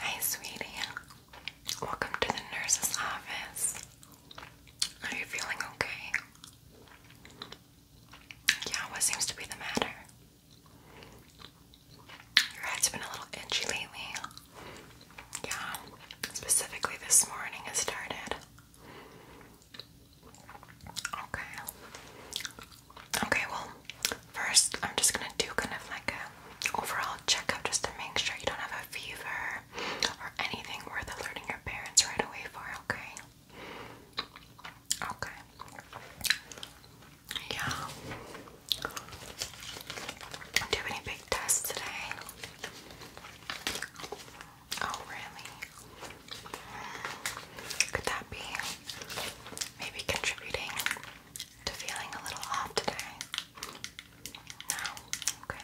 Hi, sweetie. Welcome to the nurse's office. Are you feeling okay? Yeah, what seems to be the matter? Your head's been a little itchy lately. Yeah, specifically this morning it started. Okay. Okay, well, first I'm just gonna do kind of like a overall checkup just to make sure you don't have a fever or anything worth alerting your parents right away for, okay? Okay. Yeah. Do any big tests today? Oh, really? Hmm. Could that be maybe contributing? to feeling a little off today? No? Okay.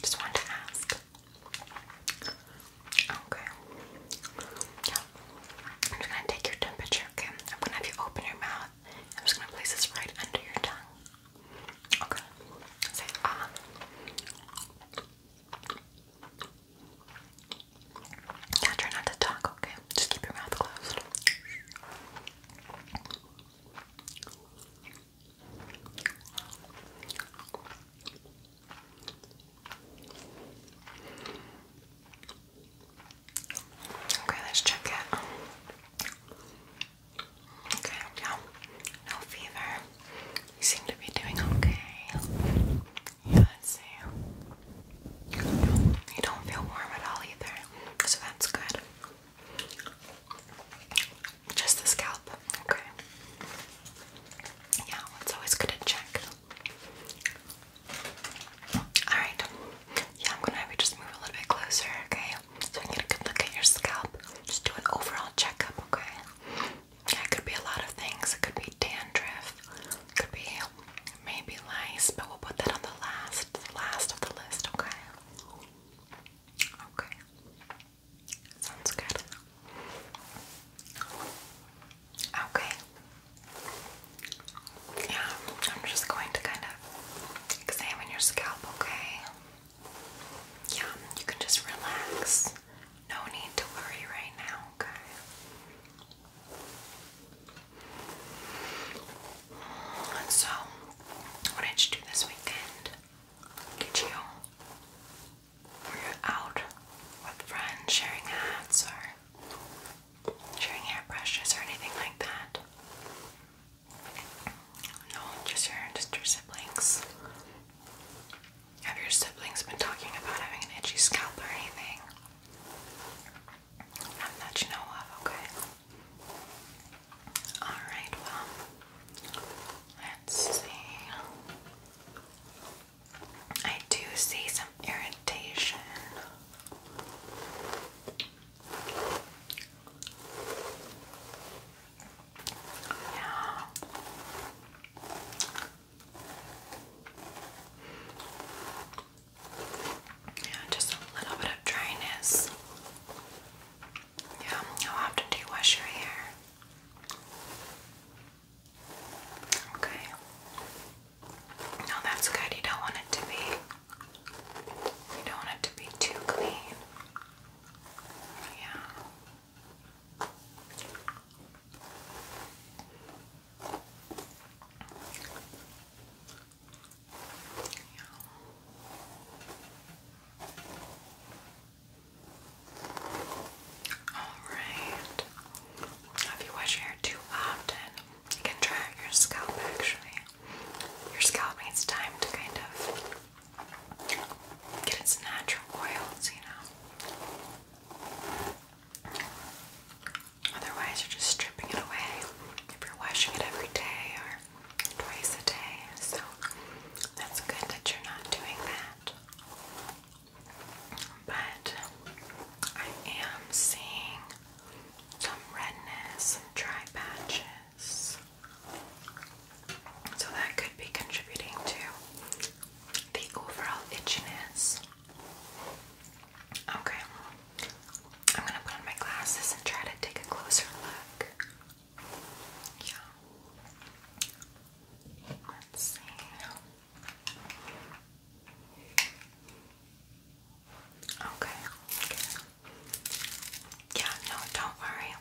Just wanted to ask. Okay. Yeah. I'm just gonna take your temperature, okay? I'm gonna have you open your mouth. I'm just gonna place this right under your tongue. Okay. Say ah. Yeah, try not to talk, okay? Just keep your mouth closed. Okay, let's check it. Okay, no, no fever. You seem to be doing okay. Yeah, let's see. You don't feel warm at all either, so that's good. Just the scalp, okay. Yeah, it's always good to check. Alright, yeah, I'm gonna have you just move a little bit closer, okay? So I can get a good look at your scalp. Just do an overall checkup, okay? it could be a lot of things. It could be dandruff, it could be Maybe lice, but we'll put that on the last, the last of the list, okay? Okay. Sounds good. Okay. Yeah, I'm just going to kind of examine your scalp, okay? Yeah, you can just relax. No need to worry right now, okay? So, what did you do this weekend? Did you were out with friends sharing hats or sharing hair or anything like that? No, just your just your siblings. Have your siblings been talking about having an itchy scalp or anything? that you know of, okay? Alright, well, let's see. I do see some irritation. Yeah. Yeah, just a little bit of dryness. Yeah, how often do you wash your hair? Okay. No, that's good. You don't want it to be you don't want it to be too clean. Yeah. Alright. If you wash your hair too often, you can dry out your scalp actually. Your scalp needs time to kind of get its natural oils, you know. Otherwise, you're just stripping it away if you're washing it every day or twice a day. So that's good that you're not doing that. But I am seeing some redness, and dry patches. So that could be contributing to the overall itchiness. Okay. I'm gonna put on my glasses and try to take a closer look. Yeah. Let's see. Okay. okay. Yeah, no, don't worry.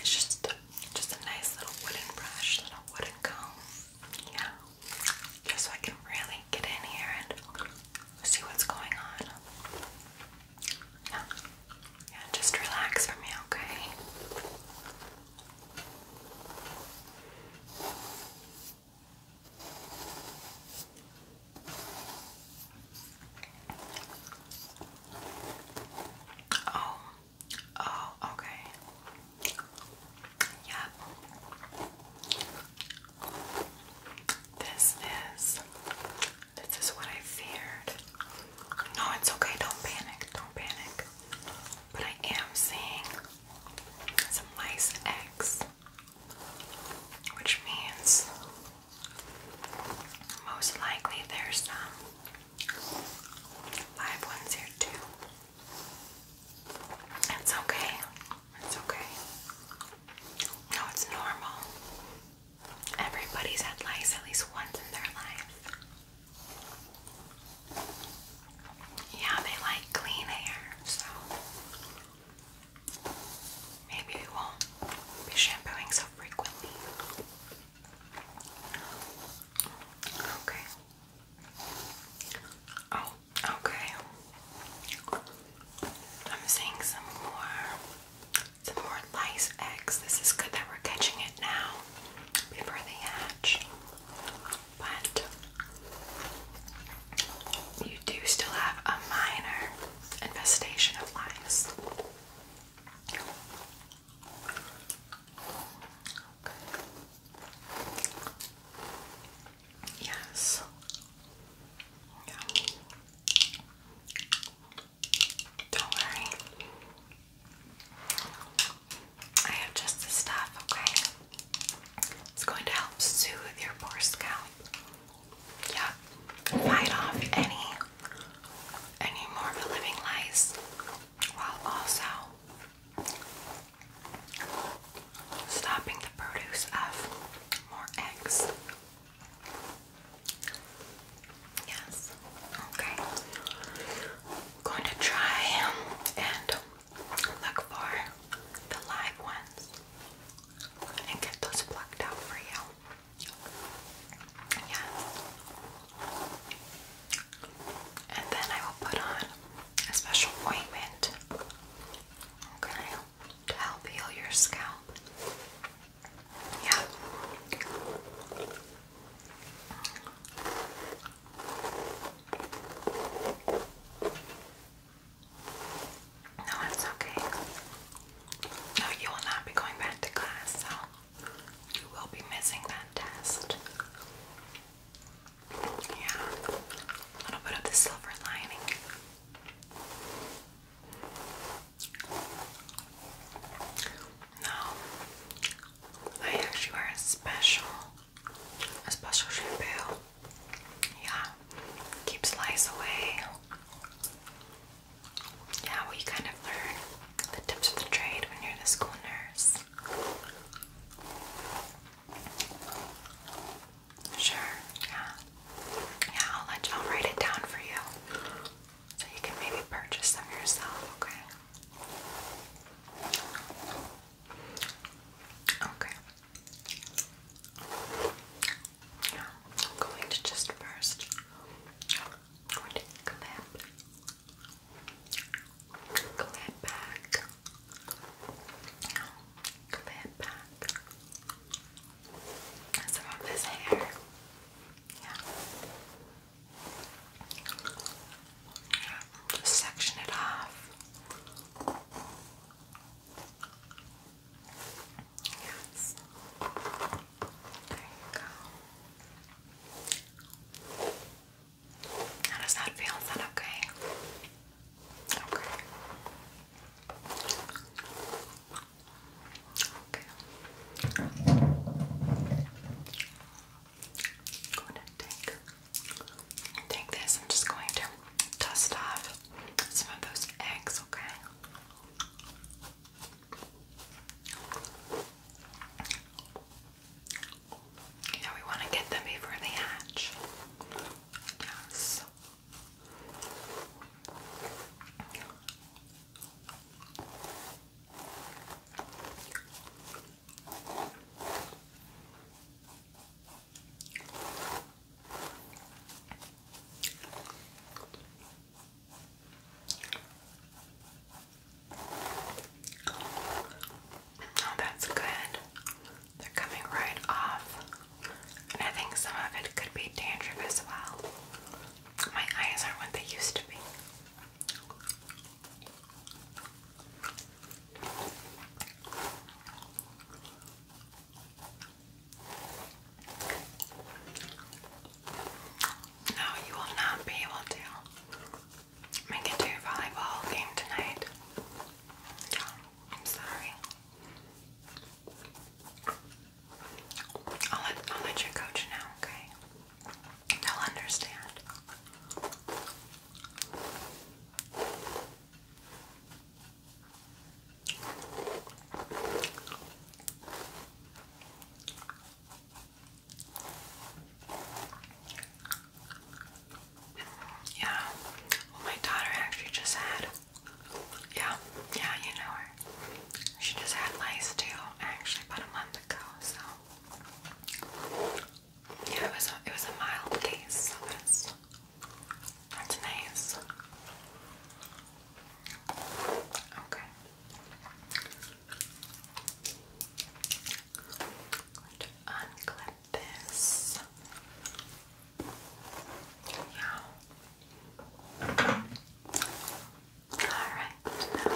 It's just just a nice little wooden brush, little wooden comb. Yeah. Just so I can really get in here and see what's going on. Yeah. Yeah, just relax for me, okay? Oh, oh, okay. Yeah. This is this is what I feared. No, it's okay, don't panic, don't panic. But I am seeing some nice eggs. Which means most likely there's some live ones here too. It's okay. It's okay. No, it's normal. Everybody's had lice at least once in their life. Yeah, they like clean air, so maybe we won't be shampooing so frequently. Okay. Oh, Okay. I'm seeing some more some more lice eggs. This is good that we're catching it now before they hatch. But you do still have a minor infestation of lice. Yes. Yeah. Don't worry. I have just the stuff, okay? It's going to help soothe your poor scalp. Yeah. Fight off any any more of the living lice while also stopping the produce of more eggs. Yes. Okay. I'm going to try and look for the live ones and get those plucked out for you. Yes. And then I will put on a special appointment, okay, to help heal your scalp. Yeah. No, it's okay. No, you will not be going back to class, so you will be missing that test. Yeah, a little bit of the silver lining. Now, I actually wear a special, a special shampoo. Yeah, keeps lice away. Yeah, well, you kind of learn the tips of the trade when you're the school nurse. Sure, yeah. Yeah, I'll let you, i write it down for you. So you can maybe purchase them yourself, okay? Okay. Now, I'm going to just 1st Clap back. Clap back. Some of this hair. Yeah. yeah. section it off. Yes. There you go. How does that feel? Is that okay? Okay. Okay. I'm going to take, take this. I'm just going to dust off some of those eggs, okay? Yeah, we want to get them before they hatch. Yes. Oh, that's good. They're coming right off. And I think some of it could be dandruff as well. My eyes aren't what they used to be. No, you will not be able to make it to your volleyball game tonight. I'm sorry. I'll let, I'll let your coach know, okay? They'll understand. Yeah. my daughter actually just had. Yeah, yeah, you know her. She just had lice too, actually, about a month ago. So yeah, it was it was a mild case. So that's that's nice. Okay going to unclip this. Yeah. Alright, now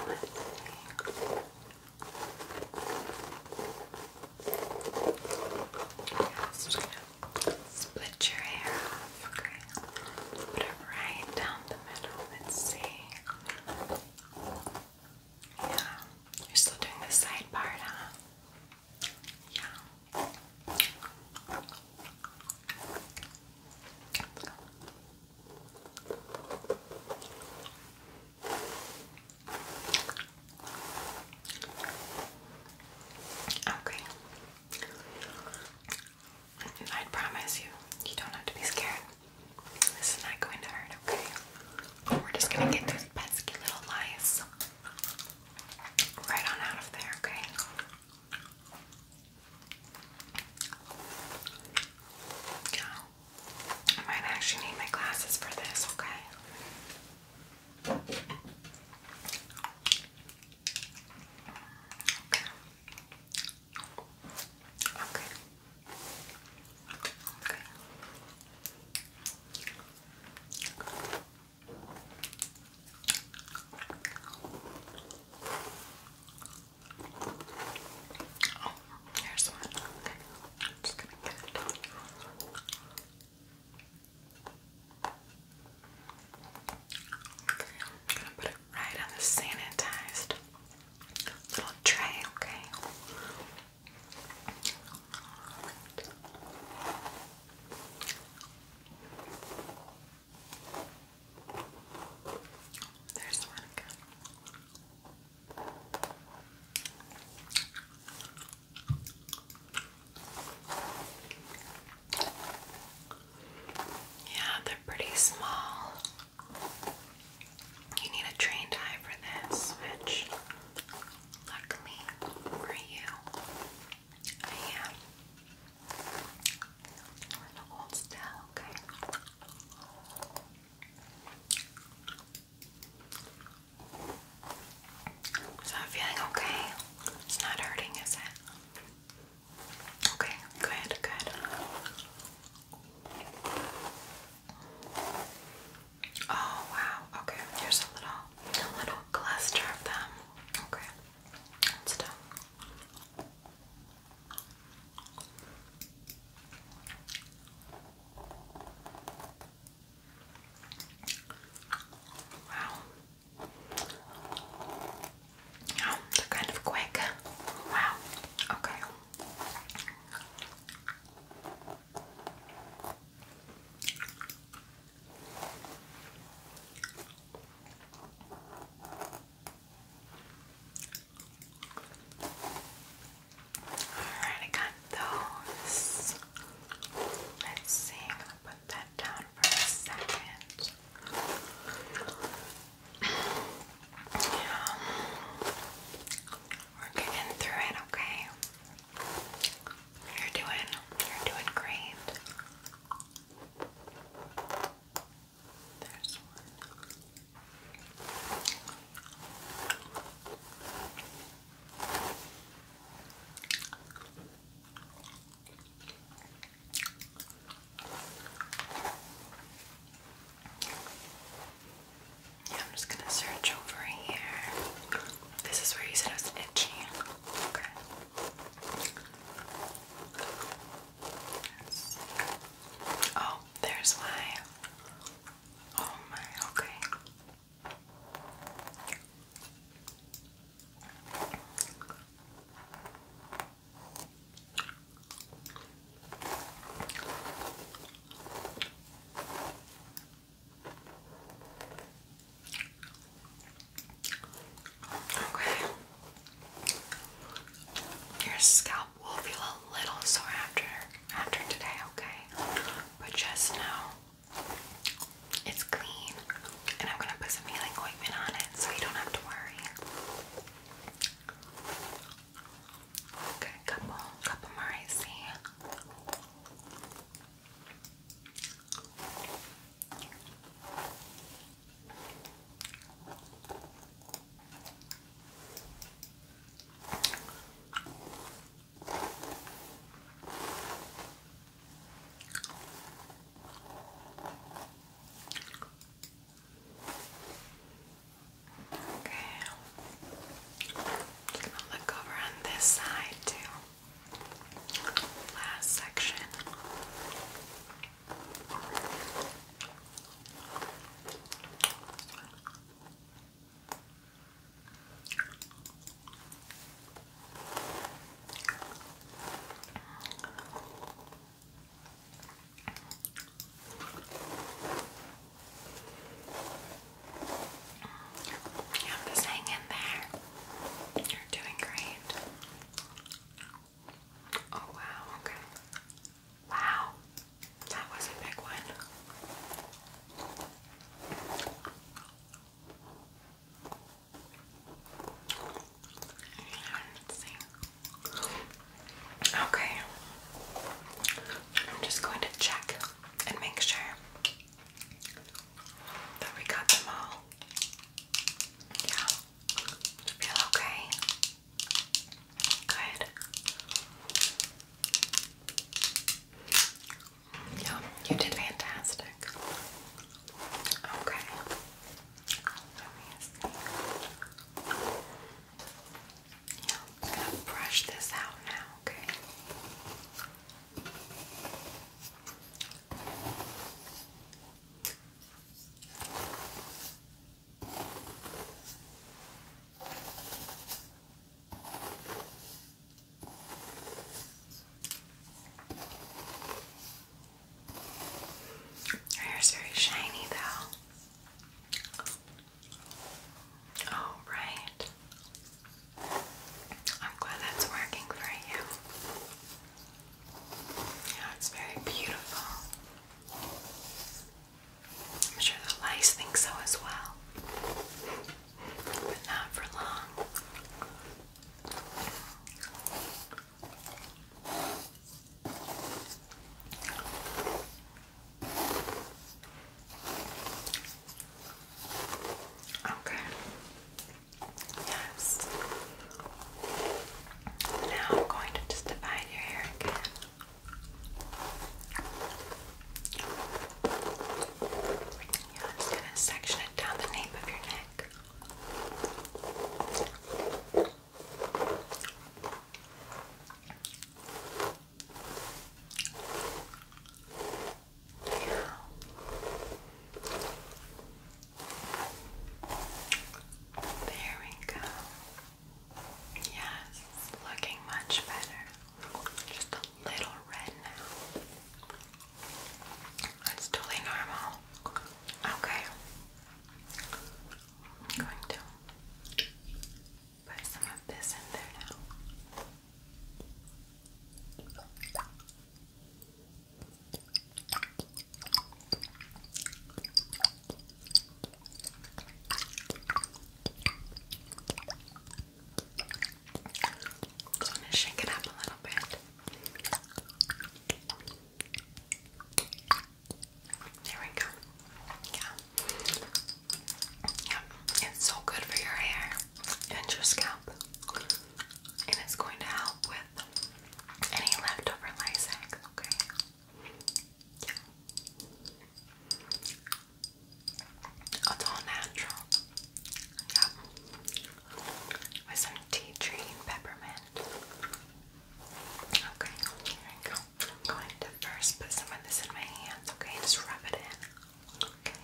let's split your hair okay? Put it right down the middle, let's see. Yeah. You're still doing the side part, huh? Yeah. Okay, I promise you, you don't have to be scared. This is not going to hurt, okay? We're just gonna get those pesky little lice right on out of there, okay? I might actually need my glasses for this, Okay. Okay. Okay. Oh, here's one. just gonna put it right on the sanitized little tray, okay? There's one Yeah, they're pretty small. You need a trained eye for this, which luckily for you, I am. Hold still, okay? Is that feeling okay? It's not hurting, is it? Okay, good, good. Oh wow, okay, here's a little a little cluster of them. Okay. Wow. Oh, they're kind of quick. Wow. Okay. Alright, I got those. Let's see, I'm gonna put that down for a second. Yeah. We're getting through it, okay? You're doing, you're doing great. There's one. I'm just gonna search over here. This is where you said it was itchy. Okay. Oh, there's why. Oh my, okay. Okay. Your scalp will feel a little sore after after today, okay? But just know it's clean and I'm gonna put some healing ointment on it so you don't have to worry. Okay, a couple, couple more I see. Okay. I'll look over on this side too. Last section. I'm just hang in there. You're doing great. Oh wow, okay. Wow. That was a big one. Okay. I'm just going to check and make sure that we got them all. Yeah. Feel okay? Good. Yeah, you did fantastic. Okay. I'm gonna brush this out now, Okay. Her hair's very shiny though. Oh, right. I'm glad that's working for you. Yeah, it's very beautiful. I'm sure the lice think so as well. But not for long. Okay. Yes. Now I'm going to just divide your hair Yeah, I'm going to section it down the nape of your neck. There we go. Yes, looking much better. Just a little red now. That's totally normal. Okay. I'm going to put some of this in there now. I'm to shake it up a little bit. There we go. Yeah. Yeah, it's so good for your hair and your scalp. And it's going to help with any leftover Lysac, okay? It's all natural. Yep. With some tea tree and peppermint. Okay, here we go. I'm going to first put some of this in my hands, okay? Just rub it in. Okay.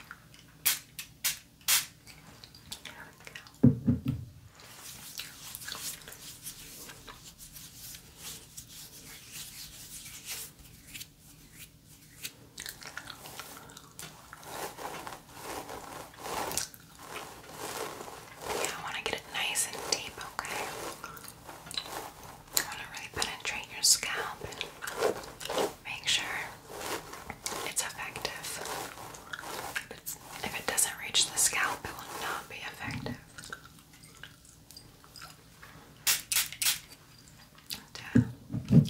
There we go. Yeah, I want to get it nice and deep, okay? I want to really penetrate your scalp and make sure it's effective. If, it doesn't reach the scalp, it will not be effective. And,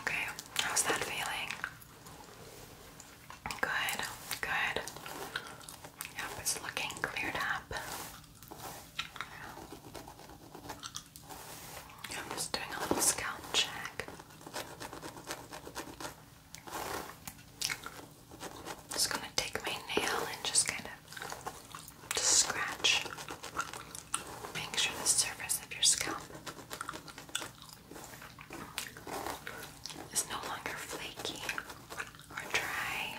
Okay, how's that feeling? Good, good. Yep, it's looking cleared up. I'm just doing a little scalp check. Just gonna take my nail and just kind of scratch. Make sure the surface of your scalp is no longer flaky or dry.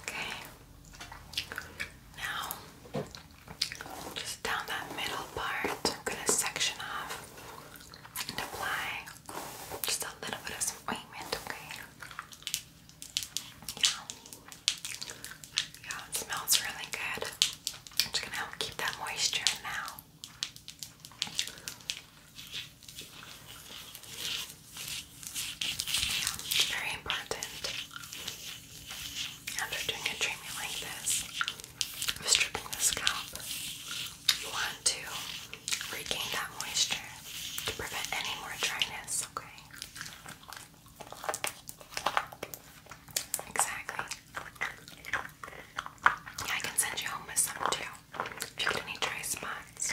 Okay. Now, just down that middle part, I'm gonna section off and apply just a little bit of some ointment, okay? Yeah. Yeah, it smells really good. just gonna help keep that moisture now. Yeah, it's very important. After doing a treatment like this, stripping the scalp, you want to regain that moisture to prevent any more dryness, okay? Exactly. I can send you home with some too. If you get any dry spots,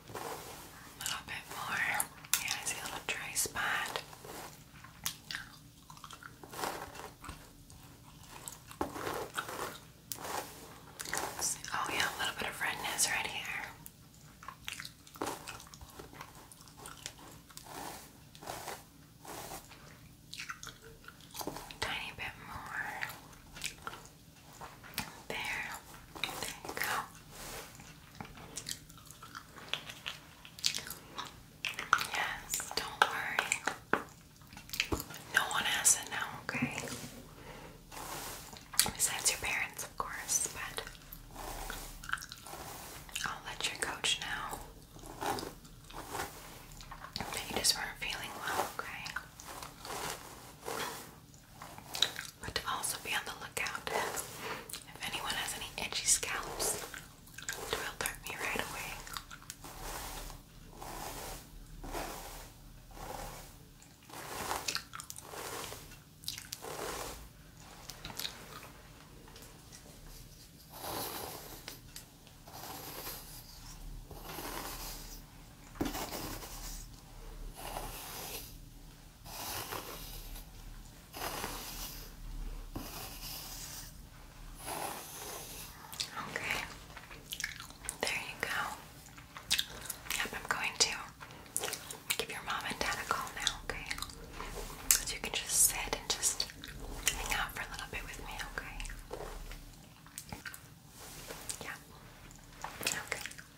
A little bit more. Yeah, I see a little dry spot. Oh yeah, a little bit of redness right here. Tiny bit more. There. There you go. Yes, don't worry. No one has to know, okay? Besides your parents, of course, but I'll let your coach know you just weren't feeling well, okay? But also be on the lookout if anyone has any edgy scalps to alert me right away. Okay, there you go. Yep, I'm going to give your mom and dad a call now, okay? So you can just sit and just hang out for a little bit with me, okay? Yeah. Okay.